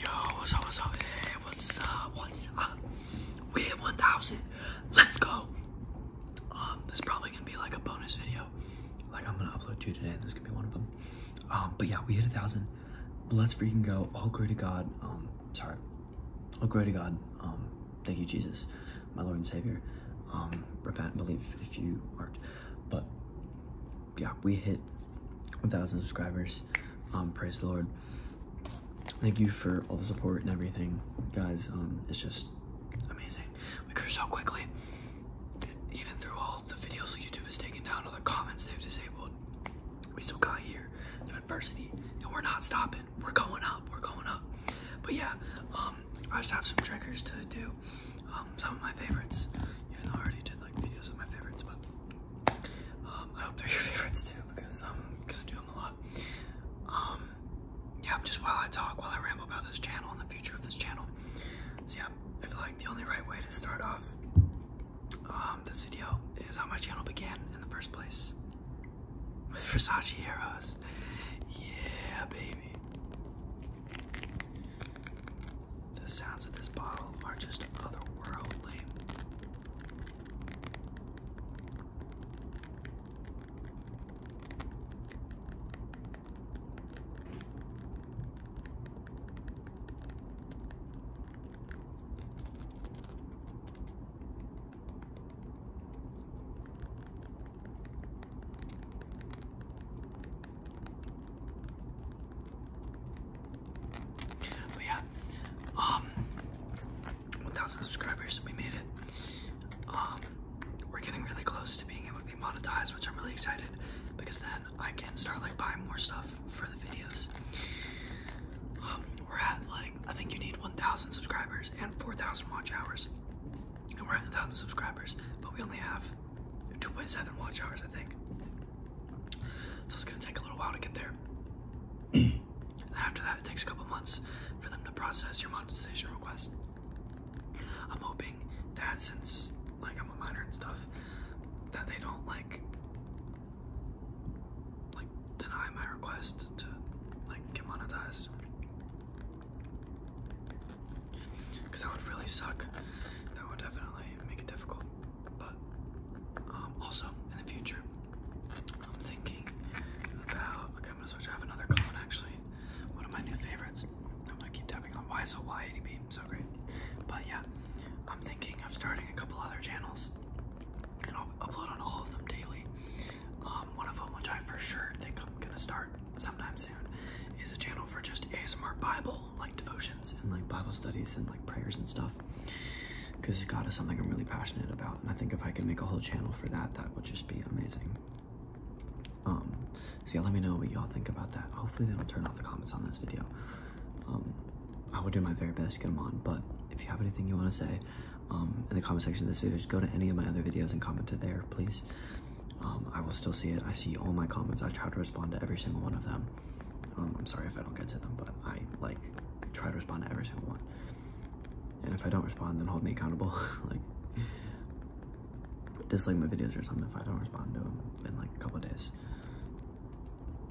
Yo, what's up, what's up, hey, what's up, what's up? We hit 1,000, let's go! Um, this is probably gonna be like a bonus video. Like I'm gonna upload two today, this could be one of them. Um, but yeah, we hit 1,000, let's freaking go, all glory to God, um, sorry. All glory to God, um, thank you Jesus, my Lord and Savior. Repent and believe if you aren't, but yeah, we hit a thousand subscribers. Um, praise the Lord. Thank you for all the support and everything, guys. Um, it's just amazing. We grew so quickly, even through all the videos YouTube has taken down, all the comments they've disabled. We still got here through adversity, and we're not stopping. We're going up. We're going up. But yeah, um, I just have some triggers to do. Um, some of my favorites, even though I already did like videos of my favorites, but um, I hope they're your favorites too because I'm gonna do them a lot. Um, yeah, just while I talk, while I ramble about this channel and the future of this channel. So yeah, I feel like the only right way to start off um, this video is how my channel began in the first place with Versace arrows. Yeah, baby. The sounds of this bottle are just otherworldly. But yeah, um, 1,000 subscribers, we made it. Um, we're getting really close to being able to be monetized, which I'm really excited because then I can start like buying more stuff for the videos. Um, we're at like I think you need 1,000 subscribers and 4,000 watch hours, and we're at 1,000 subscribers, but we only have 2.7 watch hours, I think. So it's gonna take a little while to get there. and after that, it takes a couple months for them to process your monetization request. I'm hoping that since like I'm a minor and stuff, that they don't like like deny my request to like get monetized. Cause that would really suck. That would definitely make it difficult. But um, also in the future, I'm thinking about. Okay, i switch. I have another column actually. One of my new favorites. I'm gonna keep tapping on why so why So great. But yeah, I'm thinking of starting a couple other channels, and I'll upload on all of them daily. Um, one of them, which I for sure think I'm gonna start sometime soon, is a channel for just ASMR Bible like devotions and like Bible studies and like prayers and stuff because God is something I'm really passionate about. And I think if I can make a whole channel for that, that would just be amazing. Um, so let me know what y'all think about that. Hopefully they don't turn off the comments on this video. Um, I will do my very best to get them on, but if you have anything you want to say um, in the comment section of this video, just go to any of my other videos and comment to there, please. Um, I will still see it. I see all my comments. I try to respond to every single one of them. Um, I'm sorry if I don't get to them, but I like try to respond to every single one. And if I don't respond, then hold me accountable. like, dislike my videos or something if I don't respond to them in like a couple days.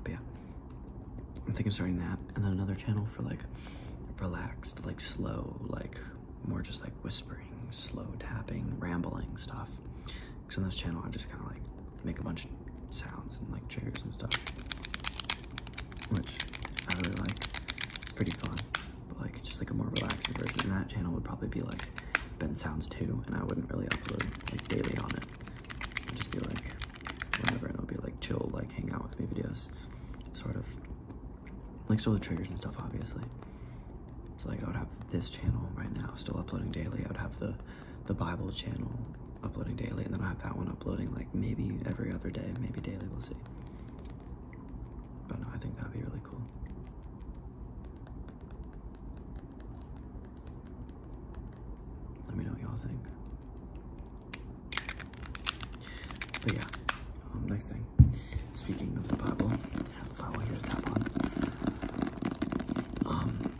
But yeah, I'm thinking of starting that and then another channel for like relaxed, like slow, like more just like whispering, slow tapping, rambling stuff. Because on this channel, I just kind of like make a bunch of sounds and like triggers and stuff, which I really like. It's pretty fun, but like just like a more relaxed version. And that channel would probably be like Ben Sounds 2, and I wouldn't really upload like daily on it. It'd just be like whatever, and it'll be like chill, like hang out with me videos, sort of. Like still the triggers and stuff, obviously. So like I would have this channel right now still uploading daily. I would have the the Bible channel uploading daily, and then I have that one uploading like maybe every other day, maybe daily. We'll see. But I think that'd be really cool. Let me know what y'all think. But yeah, um, next thing. Speaking of the Bible, I the Bible here to tap on. Um,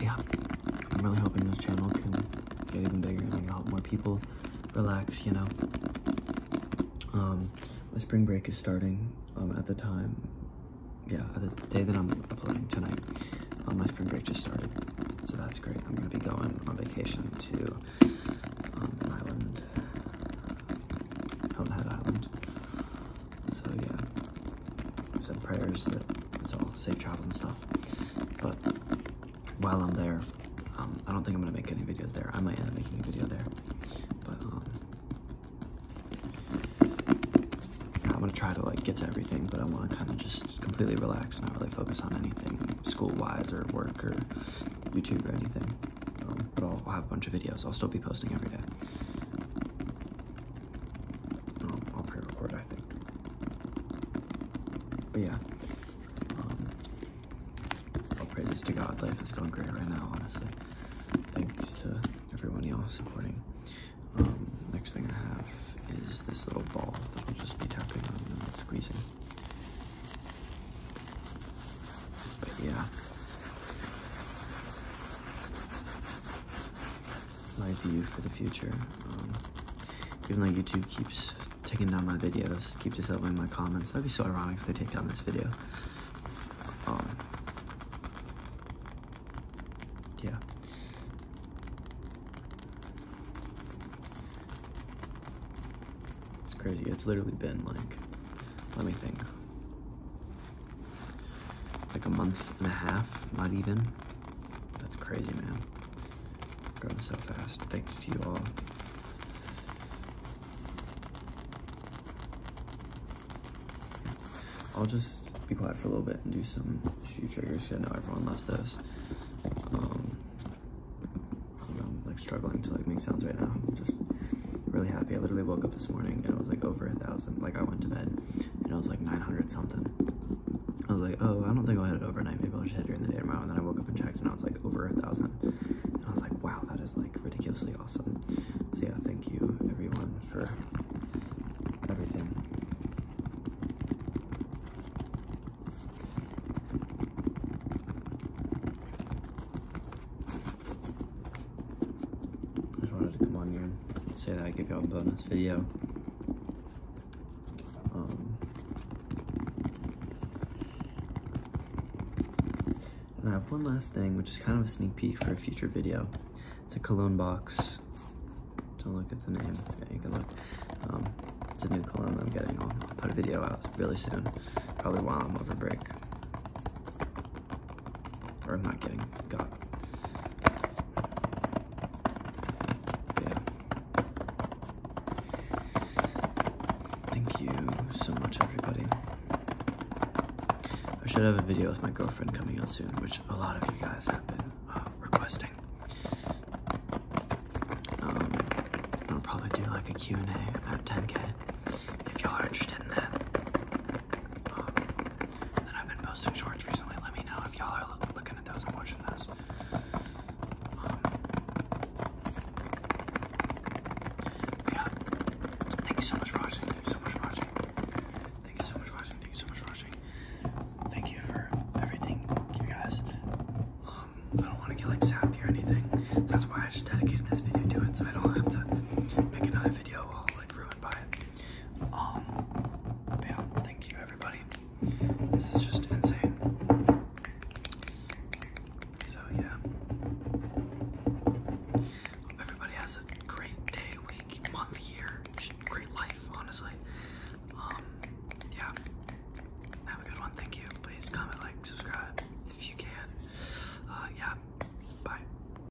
yeah, I'm really hoping this channel can get even bigger and help more people relax, you know. Um, my spring break is starting um, at the time, yeah, the day that I'm uploading tonight. Um, my spring break just started, so that's great. I'm gonna be going on vacation to um, an island, Hilton Island. So yeah, said prayers that it's all safe travel and stuff. But while I'm there, um, I don't think I'm gonna make any videos there. I might end up making a video there, but um, I'm gonna try to like get to everything. But I want to kind of just completely relax, not really focus on anything school-wise or work or YouTube or anything. Um, but I'll have a bunch of videos. I'll still be posting every day. Oh, I'll pre-record, I think. But yeah, um, I'll pray this to God. Life is going great right now, honestly. Thanks to everyone y'all supporting. Um, next thing I have is this little ball that I'll just be tapping on and squeezing. But yeah. It's my view for the future. Um, even though YouTube keeps taking down my videos, keep disabling my comments. That'd be so ironic if they take down this video. Um, yeah. It's crazy. It's literally been like, let me think. Like a month and a half, not even. That's crazy, man. Growing so fast. Thanks to you all. I'll just be quiet for a little bit and do some shoe triggers. I know everyone loves those. Um, I'm um, like struggling to like make sounds right now. I'm just really happy. I literally woke up this morning and it was like over a thousand. Like I went to bed and it was like 900 something. I was like, oh, I don't think I'll hit it overnight. Maybe I'll just hit it during the day tomorrow. And then I woke up and checked, and I was like over a thousand. And I was like, wow, that is like ridiculously awesome. So yeah, thank you everyone for everything. I just wanted to come on here and say that I give you a bonus video. Um, and I have one last thing, which is kind of a sneak peek for a future video. It's a cologne box. Don't look at the name. Yeah, you can look. Um, it's a new cologne I'm getting. I'll, I'll put a video out really soon, probably while I'm over break. Or not getting God. Yeah. Thank you so much, everybody. I should have a video with my girlfriend coming out soon, which a lot of you guys have been uh, requesting. Um, I'll probably do like a and a at 10k if y'all are interested in that. Um, I've been posting shorts recently. Let me know if y'all are looking at those and watching those. Um, thank you so much for watching. Thank you so much for watching. Thank you so much for watching. Thank you so much for watching. Thank you for everything, you guys. Um, I don't want to get like sappy or anything. that's why I just dedicated this video to it, so I don't have to make another video all like ruined by it. Um, yeah, thank you everybody. This is just insane. So yeah. everybody has a great day, week, month, year, great life, honestly. Um, yeah. Have a good one, thank you. Please comment, like, subscribe if you can. Uh, yeah. Bye.